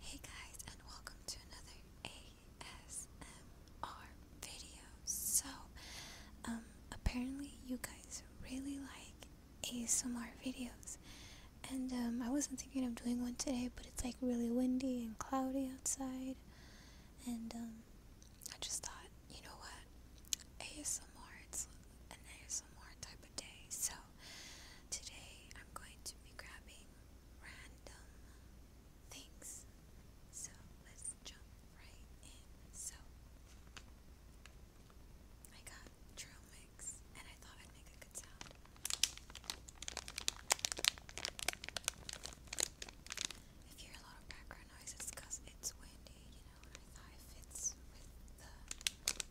Hey guys, and welcome to another ASMR video. So, um, apparently you guys really like ASMR videos, and um, I wasn't thinking of doing one today, but it's like really windy and cloudy outside, and um, I just thought, you know what, ASMR, it's an ASMR type of day, so today I'm going to be grabbing random things. So let's jump right in. So I got trail mix and I thought I'd make a good sound. If you hear a lot of background noise, it's it's windy, you know, and I the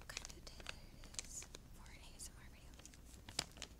kind of day that it is for an ASMR video. I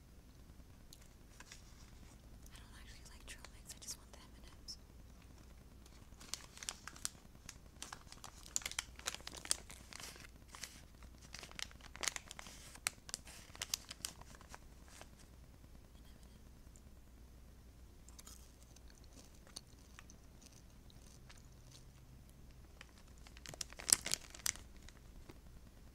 I don't actually like trail mix, I just want the m and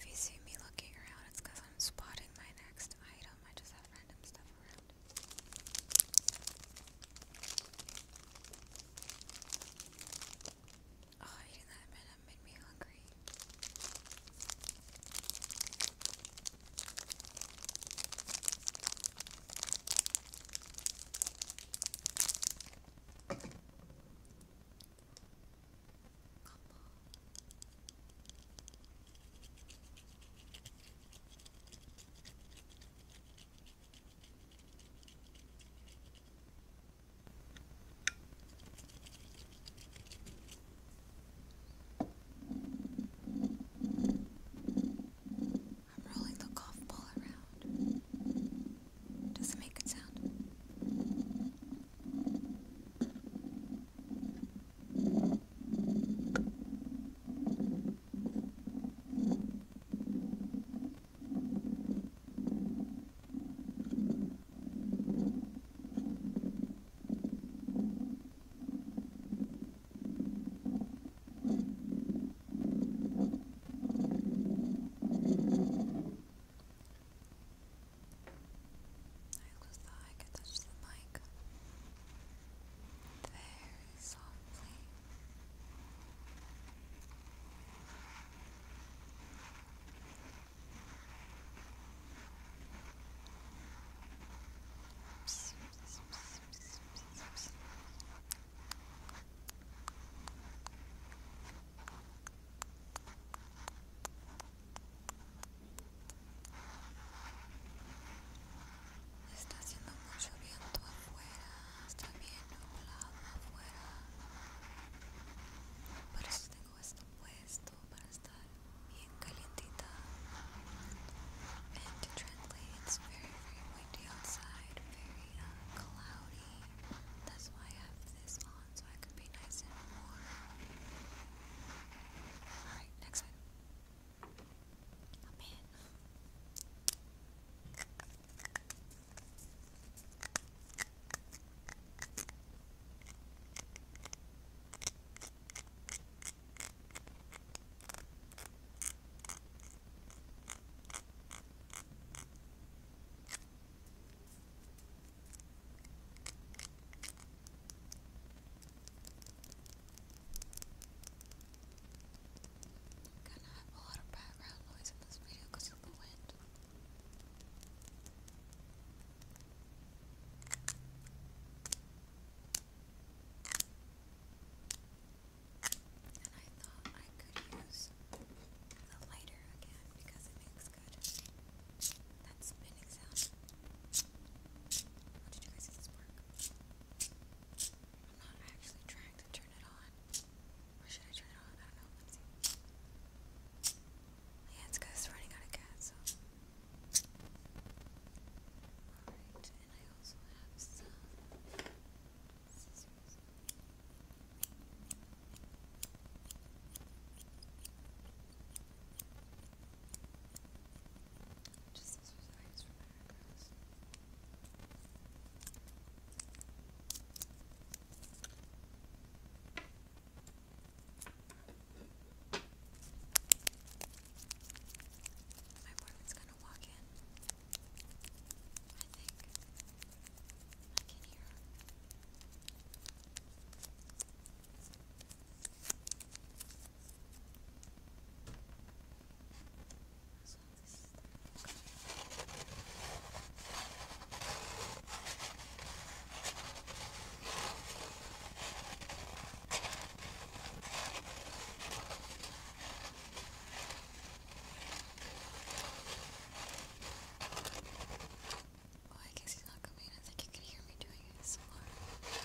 If you see me looking around, it's because I'm spotting my next item. I just have random stuff around. Oh, eating that banana made me hungry. I'm rolling the golf ball around. Does it make a sound? just thought I could touch the mic very softly. Está haciendo mucho viento afuera, está bien nublado afuera. tengo esto puesto para estar bien calientita. And to translate, it's very, very windy outside, very uh, cloudy. That's why I have this on so I can be nice and warm. Alright, next item. Gonna have a lot of background noise in this video because of the wind. And I thought I could use the lighter again because it makes good that spinning sound. How did you guys see this work? I'm not actually trying to turn it on. Or should I turn it on? I don't know. Let's see. Yeah, it's because it's running out of gas. So. Alright, and I also have some scissors. Just scissors that I use for my eyebrows. Okay. My boyfriend's gonna walk in. I think I can hear her. So this is the Oh, I guess he's not coming. I think you can hear me doing it so far. I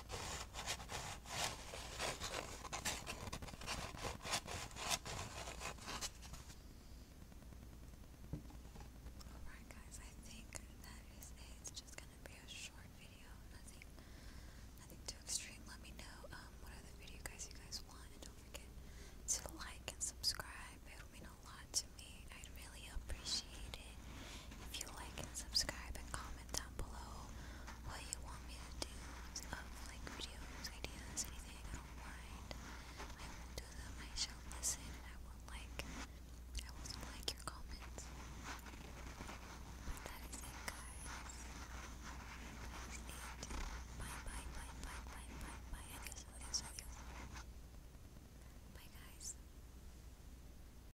Alright guys, I think that is it. It's just gonna be a short video. Nothing nothing too extreme. Let me know um, what other video guys you guys want don't forget to like and subscribe. It'll mean a lot to me. I'd really appreciate it. If you like and subscribe and comment down below what you want me to do like videos, ideas, anything, I will do them, I shall listen, I will like I will like your comments. that is it guys. That is it. Bye bye bye bye bye bye bye adios adios adios. Bye guys.